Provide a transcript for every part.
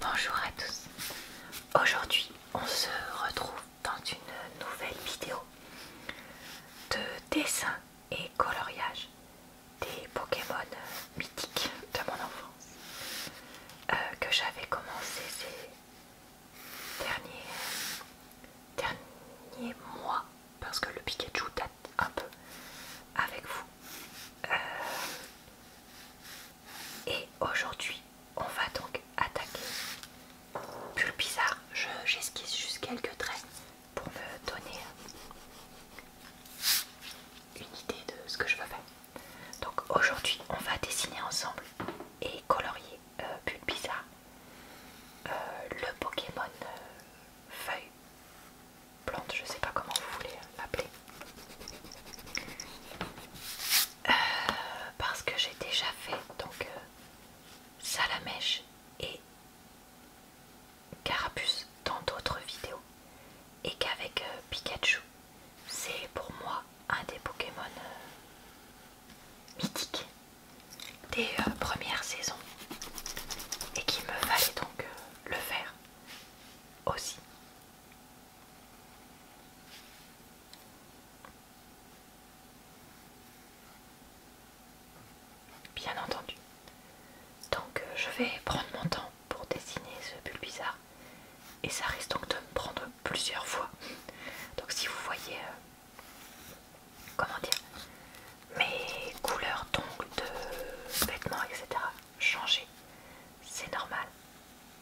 Bonjour à tous, aujourd'hui on se retrouve dans une nouvelle vidéo de dessin et coloriage des Pokémon mythiques de mon enfance euh, que j'avais commencé ces derniers, mois parce que le Pikachu date un peu avec vous. Euh, et aujourd'hui, on va donc attaquer. Pulpizard. j'esquisse juste quelques traits pour me donner une idée de ce que je veux faire. Donc aujourd'hui, on va dessiner ensemble et colorier euh, Pulpizard, euh, le Pokémon euh, feuille, plante, je sais pas comment vous voulez l'appeler. Euh, parce que j'ai déjà fait donc euh, salamèche et carapuce dans d'autres vidéos et qu'avec euh, Pikachu c'est pour moi un des Pokémon mythiques des premières saisons et qu'il me fallait donc le faire aussi Bien entendu. Donc euh, je vais prendre mon temps pour dessiner ce pull bizarre. Et ça risque donc de me prendre plusieurs fois. Donc si vous voyez, euh, comment dire, mes couleurs d'ongles, de vêtements, etc. changer, c'est normal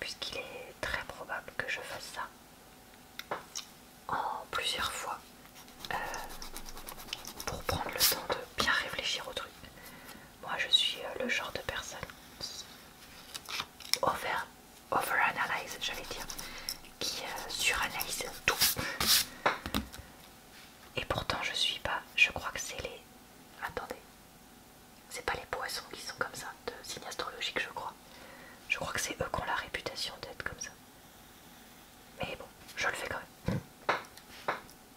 puisqu'il est très probable que je fasse ça en plusieurs fois euh, pour prendre le temps de bien réfléchir au truc. Moi je suis euh, le genre de personne over, overanalyse, j'allais dire, qui euh, suranalyse tout. Et pourtant je suis pas, je crois que c'est les... Attendez. C'est pas les poissons qui sont comme ça, de signes astrologiques, je crois. Je crois que c'est eux qui ont la réputation d'être comme ça. Mais bon, je le fais quand même.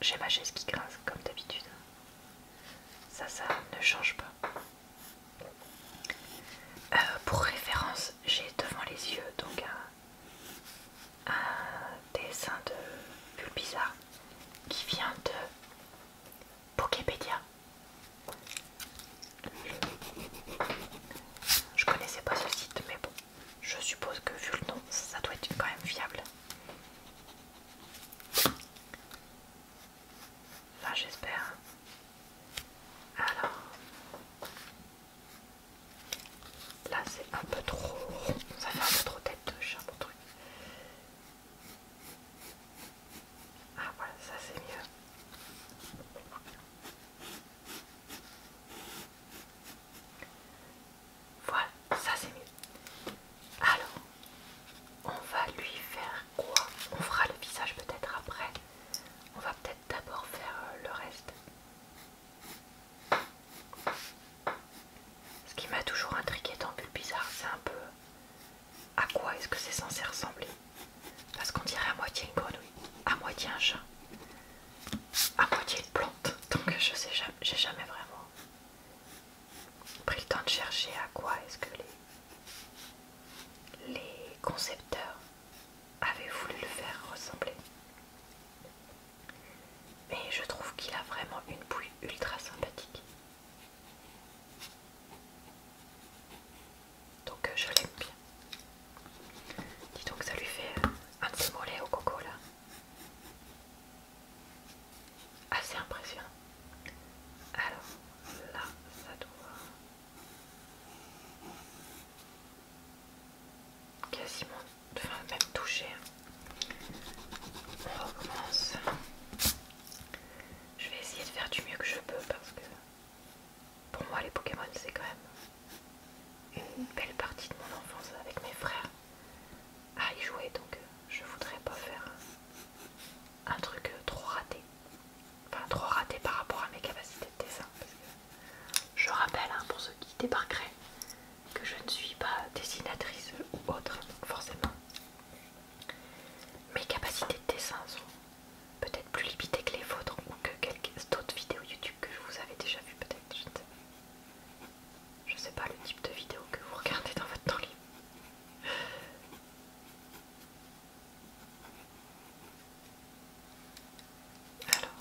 J'ai ma chaise qui grince, comme d'habitude. Ça, ça ne change pas. Euh, pour référence, j'ai devant les yeux donc un, un dessin de Bulle Bizarre qui vient de Poképedia. Je connaissais pas ce site, mais bon, je suppose que vu le nom, ça doit être quand même fiable. Là, j'espère. Alors, là c'est un peu trop ça fait un peu trop tête de chat mon truc. Ah voilà, ça c'est mieux. Voilà, ça c'est mieux. Alors, on va lui faire quoi On fera le visage peut-être après. On va peut-être d'abord faire euh, le reste. Ce qui m'a toujours intrigué tant plus Bizarre, c'est un peu à quoi est-ce que c'est censé ressembler Parce qu'on dirait à moitié une grenouille, à moitié un chat, à moitié une plante. Donc je sais jamais, j'ai jamais vraiment pris le temps de chercher à quoi est-ce que les, les concepteurs avaient voulu le faire ressembler. Mais je trouve qu'il a vraiment une bouille ultra sympathique. Donc euh, je l'aime bien. Dis donc, ça lui fait euh, un petit mollet au coco là. Assez impressionnant. Alors là, ça doit quasiment, enfin même toucher. On recommence. Je vais essayer de faire du mieux que je peux parce que pour moi les Pokémon c'est quand même une belle partie de mon enfance avec mes frères à y jouer donc euh, je voudrais pas faire un truc euh, trop raté. Enfin trop raté par rapport à mes capacités de dessin. je rappelle hein, pour ceux qui débarqueraient que je ne suis pas dessinatrice ou autre, forcément mes capacités de dessin sont peut-être plus limitées que les vôtres ou que quelques d'autres vidéos YouTube que je vous avais déjà vues peut-être, je ne sais pas. le type de vidéo que vous regardez dans votre temps libre. Alors,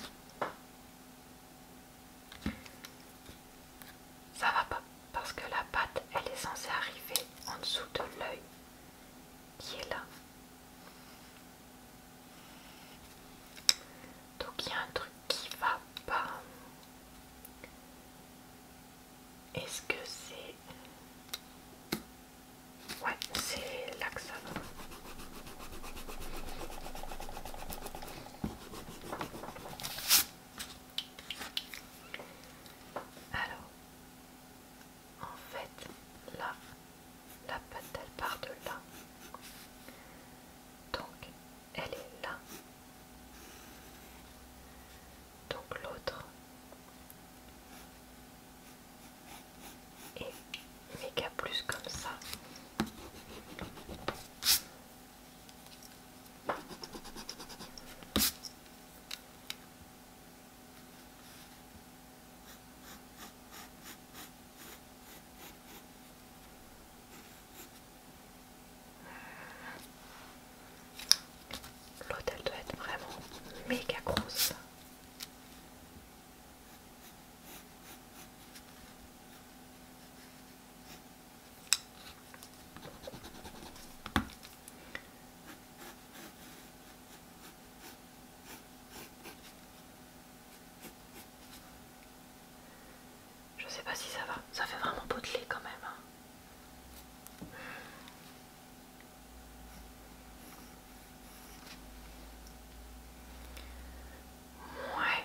ça va pas parce que la pâte elle est censée arriver en dessous de l'œil qui est là. Donc il y a un truc qui va pas. Est-ce que c'est... Ouais, c'est là Alors, en fait, là, la patte elle part de là. Donc, elle est là. Donc l'autre est méga plus comme ça. L'hôtel doit être vraiment méga grosse. Je sais pas si ça va, ça fait vraiment potelé quand même. Hein. Ouais.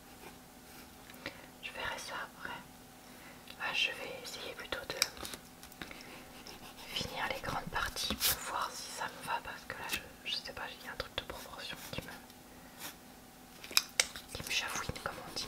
Je verrai ça après. Là, ah, je vais essayer plutôt de finir les grandes parties pour voir si ça me va parce que là, je, sais pas, j'ai un truc de proportion qui me qui me comme on dit.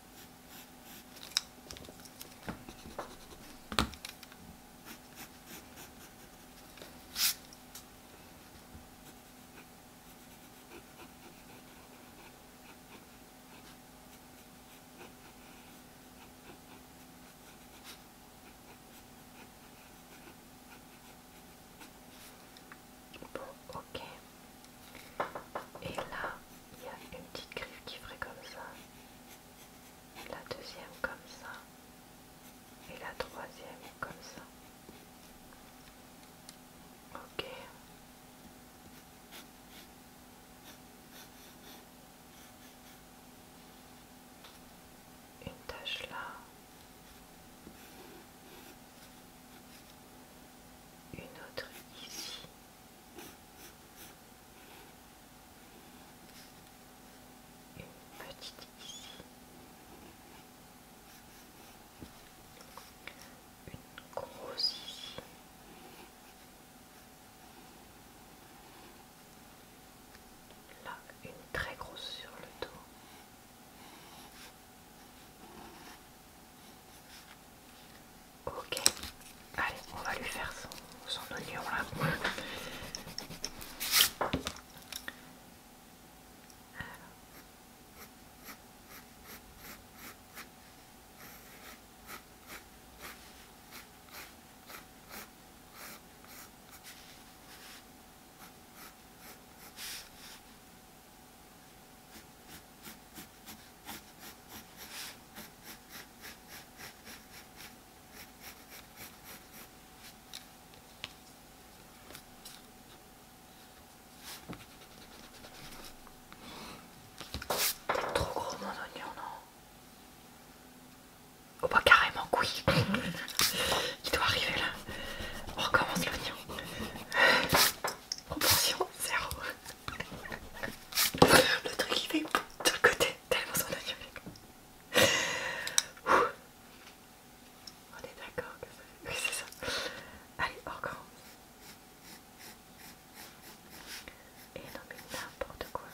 Bon, ok. Et là, il y a une petite griffe qui ferait comme ça la deuxième comme ça et la troisième comme ça. Ok. Une tâche là. Une autre ici. Une petite Une grosse ici. Là, une très grosse sur le dos. Ok, allez, on va lui faire son, son oignon là. Trop gros mon oignon, non Oh bah carrément couille Il doit arriver là. On recommence l'oignon. Proportion zéro. Le truc il fait l'autre côté tellement ça a On est d'accord que ça fait. Oui, c'est ça. Allez, encore. Et non, mais n'importe quoi.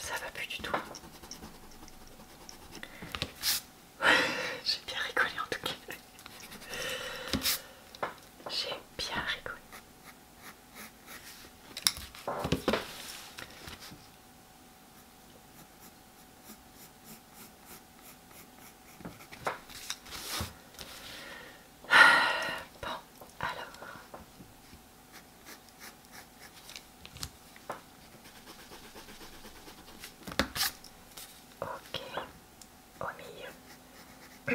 Ça va plus du tout. J'ai bien rigolé en tout cas. J'ai bien rigolé. Bon, alors. Ok, au milieu. J'arrive plus à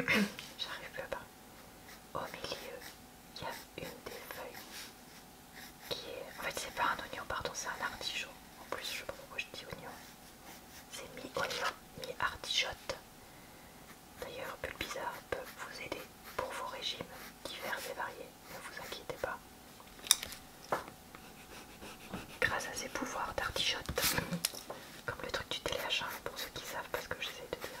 parler au milieu, il y a une des feuilles qui est... En fait, c'est pas un oignon, pardon, c'est un artichaut. En plus, je sais pas pourquoi je dis oignon. C'est mi-oignon, mi artichaut D'ailleurs, bizarre peut vous aider pour vos régimes divers et variés. Ne vous inquiétez pas. Grâce à ses pouvoirs d'artichaut, Comme le truc du téléachat, hein, pour ceux qui savent, parce que j'essaie de dire.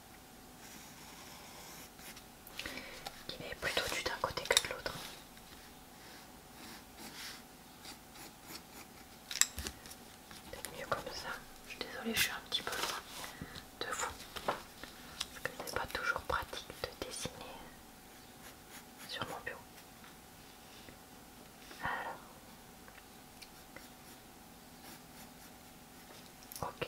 qui est plutôt du d'un côté que de l'autre. C'est mieux comme ça. Je suis désolée, je suis un petit peu loin de vous. Parce que c'est pas toujours pratique de dessiner sur mon bureau. Alors. Ok.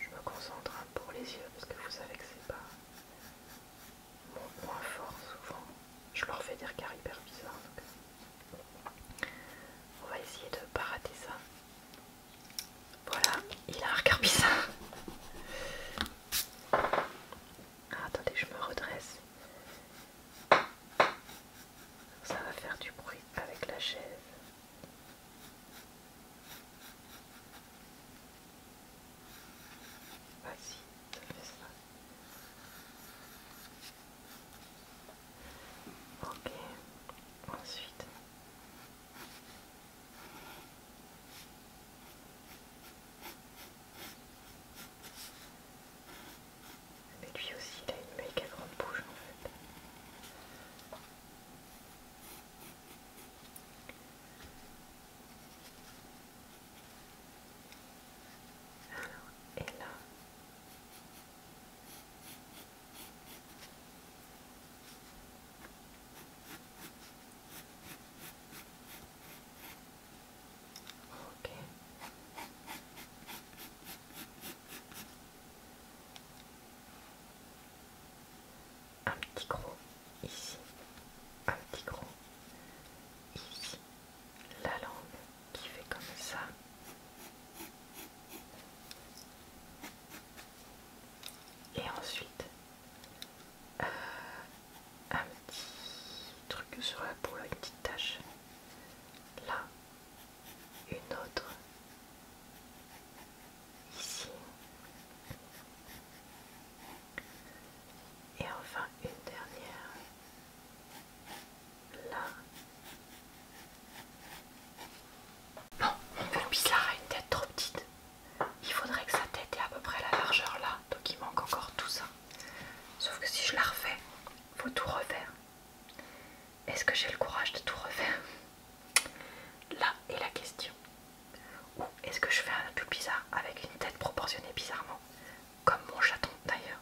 Je me concentre pour les yeux parce que vous savez que c'est pas mon point fort souvent. Je leur fais dire car hyper bizarres. Euh, on va essayer de ne pas rater ça. Voilà, il a un ça. Ah, attendez, je me redresse. Ça va faire du bruit avec la chaise. Vas-y, ça fait ça. Ok, ensuite. Mais lui aussi, il a une méga grande bouche en fait. Alors, un petit gros ici, un petit gros ici, la langue qui fait comme ça et ensuite euh, un petit truc sur la peau, une petite tache là, une autre ici et enfin une dernière là non, mon bizarre a une tête trop petite. Il faudrait que sa tête ait à peu près la largeur là, donc il manque encore tout ça. Sauf que si je la refais, faut tout refaire. Est-ce que j'ai le courage de tout refaire Là est la question. Ou est-ce que je fais un peu bizarre avec une tête proportionnée bizarrement Comme mon chaton d'ailleurs.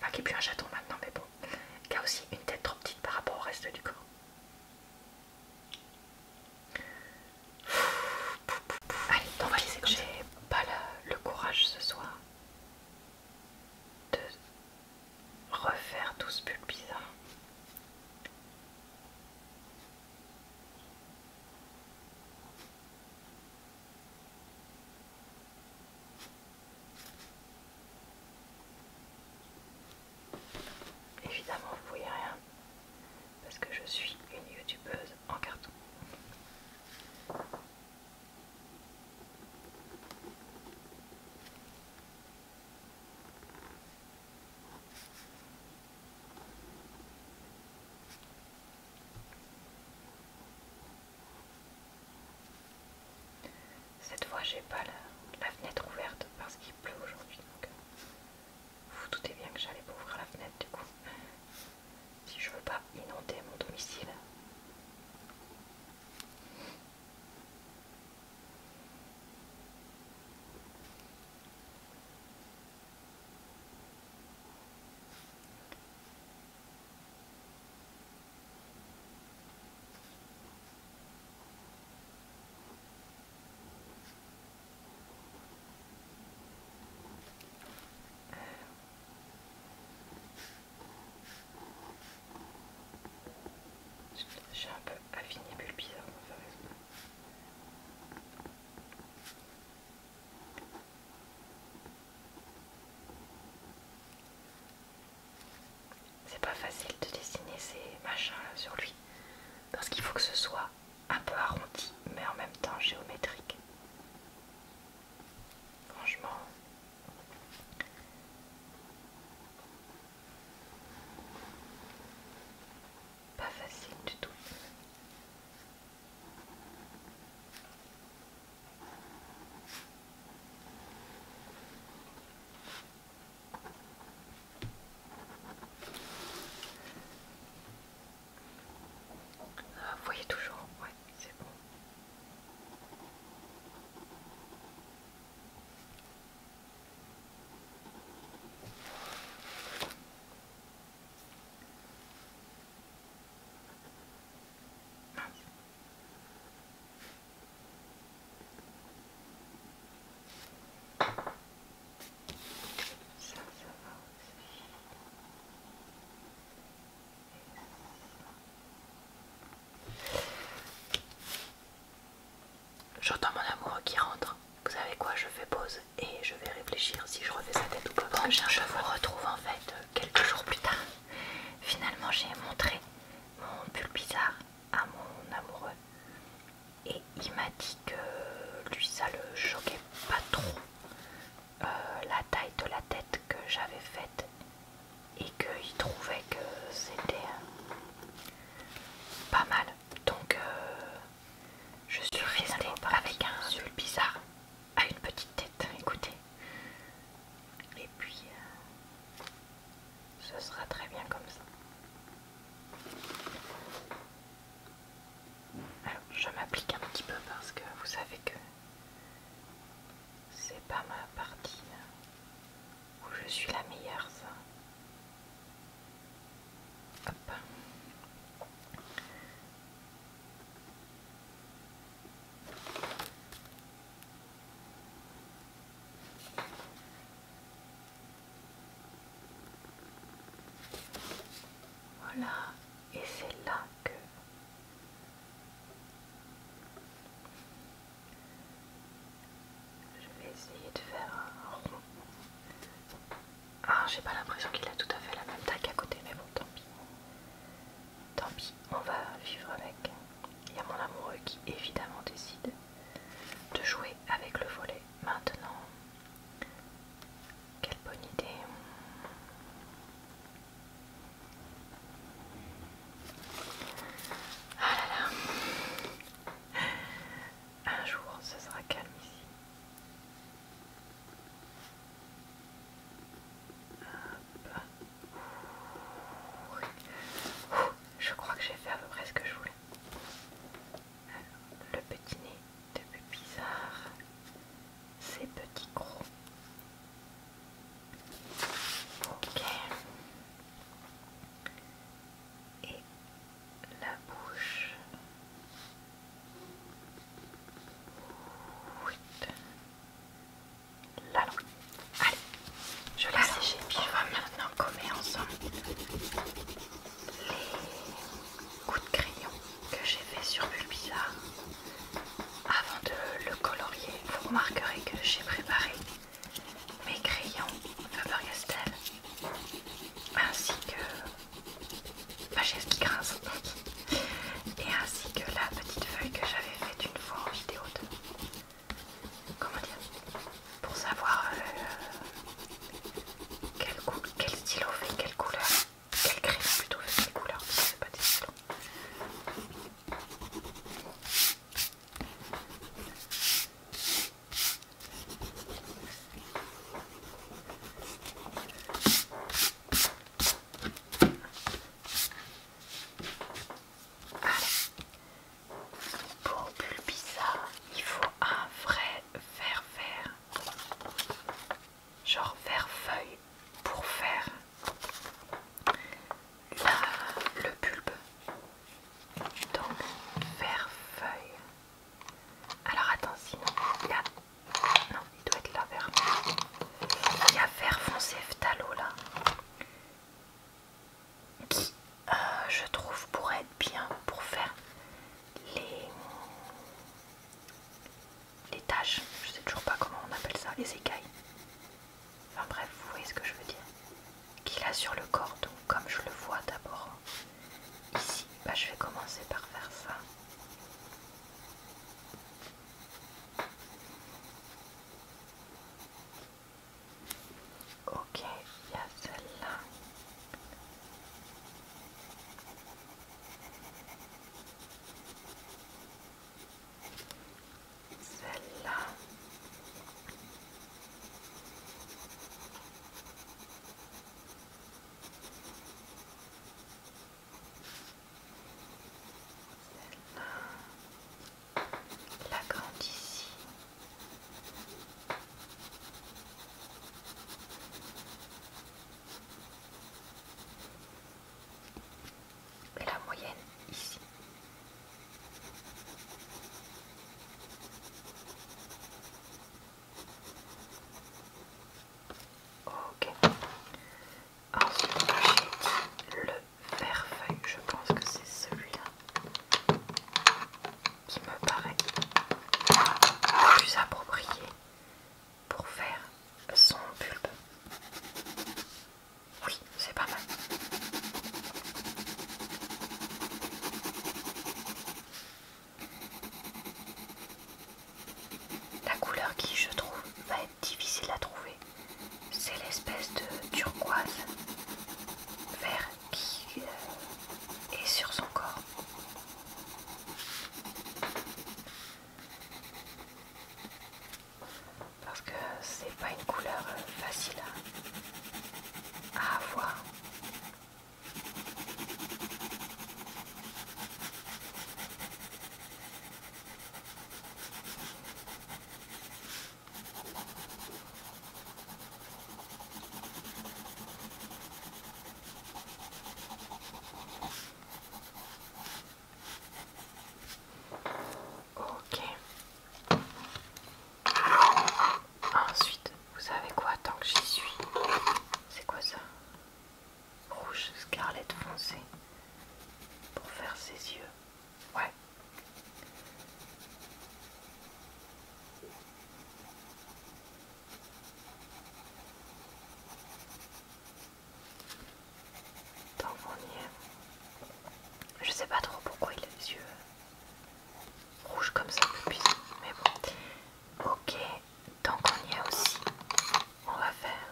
Enfin, qui est plus un chaton maintenant, mais bon. Qui a aussi une tête trop petite par rapport au reste du corps. Allez, on va laisser que J'ai pas le courage ce soir de refaire tout ce pull bizarre. Évidemment, vous ne voyez rien parce que je suis une youtubeuse en carton. Cette fois, j'ai pas la, fenêtre ouverte parce qu'il pleut aujourd'hui. Donc, vous, euh, vous doutez bien que j'allais pas ouvrir la fenêtre du coup. Si je veux pas inonder mon domicile. J'ai un peu affiné bizarre c'est pas facile de dessiner ces machins sur lui parce qu'il faut que ce soit un peu arrondi mais en même temps géométrique. Franchement. Pas facile du tout voyez toujours, ouais, c'est bon. J'entends mon amoureux qui rentre. Vous savez quoi Je fais pause et je vais réfléchir si je refais sa tête ou pas. je, je vous retrouve en fait quelques jours plus tard. Finalement, j'ai montré mon pull bizarre à mon amoureux et il m'a dit que lui ça le choquait pas trop euh, la taille de la tête que j'avais faite et qu'il trouvait que c'était euh, pas mal donc euh, je suis restée avec un sul bizarre à une petite tête écoutez et puis ce sera très bien comme ça. je m'applique un petit peu parce que vous savez que c'est pas ma partie où je suis la meilleure, ça. Voilà, et c'est là que je vais essayer de faire un rond. Ah, j'ai pas l'impression qu'il a tout à fait la même taille à côté, mais bon, tant pis. Tant pis, on va vivre avec. Il y a mon amoureux qui évidemment décide de jouer avec le volet maintenant. Quelle bonne idée. Ah là là. Un jour, ce sera calme ici. Je crois que j'ai fait à peu près ce que je voulais le petit nez de bizarre, ses petits gros Ok. Et la bouche. La Allez. Je la séché. On va maintenant commencer ensemble les coups de crayon que j'ai fait sur Bulbizarre avant de le colorier. Vous remarquerez que j'ai préparé mes crayons faber ainsi que ma chaise qui grince et ainsi que la petite feuille que j'avais faite une fois en vidéo 2 comment dire pour savoir euh, quel, stylo fait quelle couleur quel crème plutôt fait quelle couleur parce que c'est pas des stylos pour ça, il faut un vrai vert vert, genre vert feuille, pour faire le bulbe. Donc verre feuille. Alors attends, sinon il y a... Non, il doit être là vert. Il y a vert foncé phtalo là qui euh, je trouve pourrait être bien pour faire les, les tâches, je sais toujours pas comment on appelle ça, les écailles. Enfin bref, vous voyez ce que je veux dire. Qu'il a sur le corps, donc comme je le vois d'abord ici, bah, je vais commencer par faire ça. Ok, il y a celle-là. Celle-là. Celle-là. La grande ici. Et la moyenne ici. Ok. Ensuite, j'ai dit le verre feuille, je pense que c'est celui-là qui me paraît plus approprié pour faire son bulbe. Oui, c'est pas mal. La couleur qui, je trouve, va être difficile à trouver, c'est l'espèce de turquoise vert qui est sur son corps. Parce que c'est pas une couleur facile à, à avoir. Ok. Ensuite, vous savez quoi tant que j'y suis C'est quoi ça Rouge scarlet foncé pour faire ses yeux. Ouais. Tant qu'on Je sais pas trop pourquoi il a les yeux rouges comme ça Mais bon. Ok, tant qu'on y est aussi, on va faire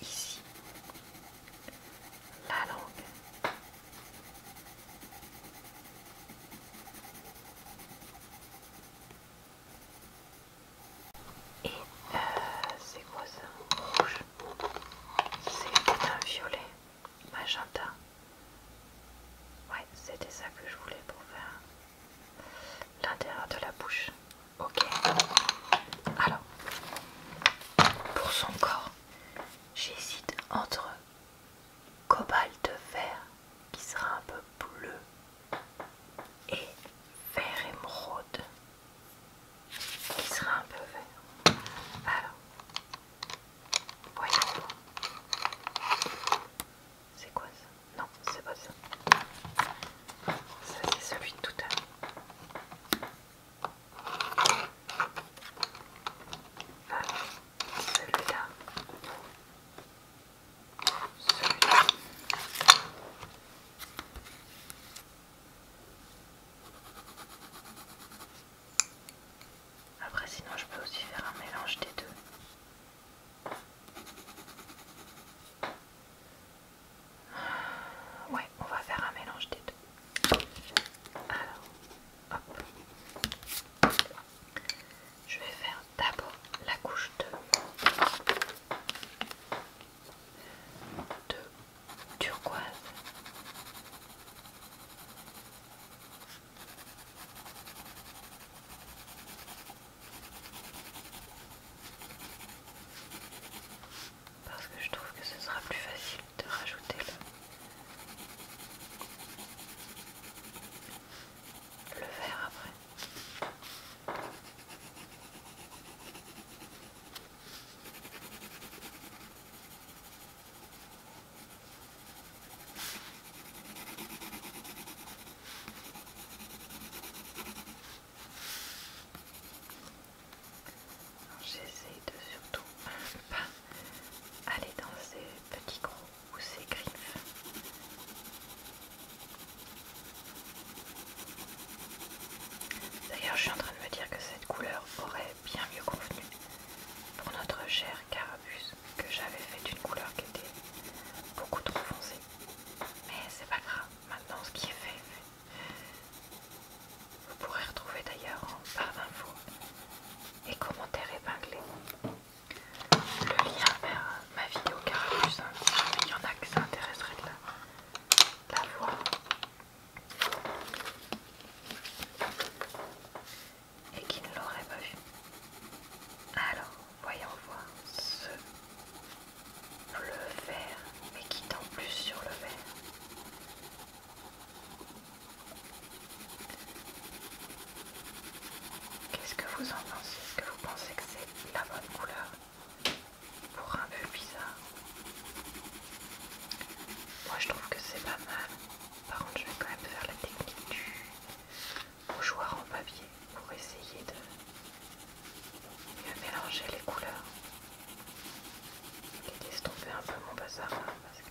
ici la langue. Et euh, c'est quoi ça Rouge. C'est un violet. Magenta. Ouais, c'était ça que je voulais pour faire l'intérieur de la bouche. Ok. Alors, pour son corps, j'hésite entre cobalt vert qui sera un peu bleu et vert émeraude qui sera un peu vert. Alors, voyons. C'est quoi ça Non, c'est pas ça. Ça c'est celui de tout à l'heure là Après sinon je peux aussi faire un mélange des deux. Ouais, on va faire un mélange des deux. Je vais faire d'abord la couche de, de turquoise. Parce que je trouve que ce sera plus facile de rajouter le le verre après. J'essaie de surtout pas aller dans ces petits gros ou ces griffes. D'ailleurs, je suis en train de me dire que cette couleur aurait bien mieux convenu pour notre cher carabus que j'avais fait d'une couleur qui était beaucoup trop foncée. Mais c'est pas grave, maintenant ce qui est fait, vous pourrez retrouver d'ailleurs en barre d'infos et commentaires épinglés. Le lien vers ma vidéo carapuce hein. il y en a qui s'intéresseraient de la, voir. Et qui ne l'aurait pas vu. Alors, voyons voir ce bleu vert, mais qui tend plus sur le vert. Qu'est-ce que vous en pensez Est-ce que vous pensez que c'est la bonne couleur pour un peu bizarre Moi je trouve que c'est pas mal. Par contre je vais quand même faire la technique du bougeoir en papier pour essayer de mélanger les couleurs et d'estomper un peu mon bazar hein, parce que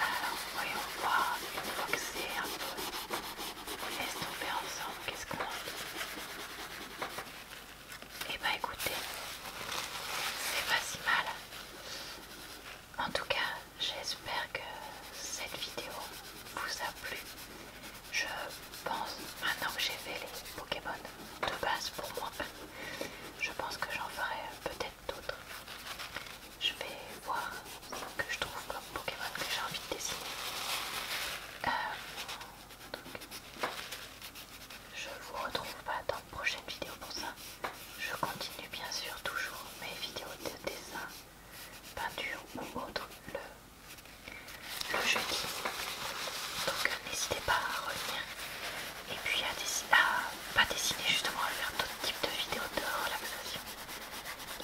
Alors, voyons voir une fois que c'est un peu. On ensemble, qu'est-ce qu'on Eh ben écoutez, c'est pas si mal. En tout cas, j'espère que cette vidéo vous a plu. Je pense, maintenant que j'ai fait les Pokémon de base pour moi, je pense que j'en ferai peut-être d'autres. Je vais voir ce que je trouve comme Pokémon que j'ai envie de dessiner. Euh, donc, je vous retrouve pas dans une prochaine vidéo pour ça. Je continue bien sûr toujours mes vidéos de dessin, peinture ou autre le, jeudi. Donc n'hésitez pas à revenir et puis à, dessiner pas dessiné justement à faire d'autres types de vidéos de relaxation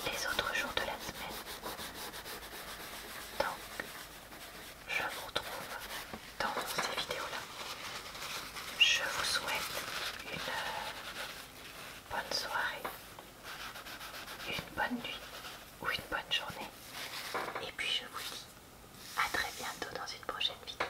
les autres jours de la semaine. Donc je vous retrouve dans ces vidéos-là. Je vous souhaite une euh, bonne soirée, une bonne nuit ou une bonne journée. Et puis je vous dis à très bientôt dans une prochaine vidéo.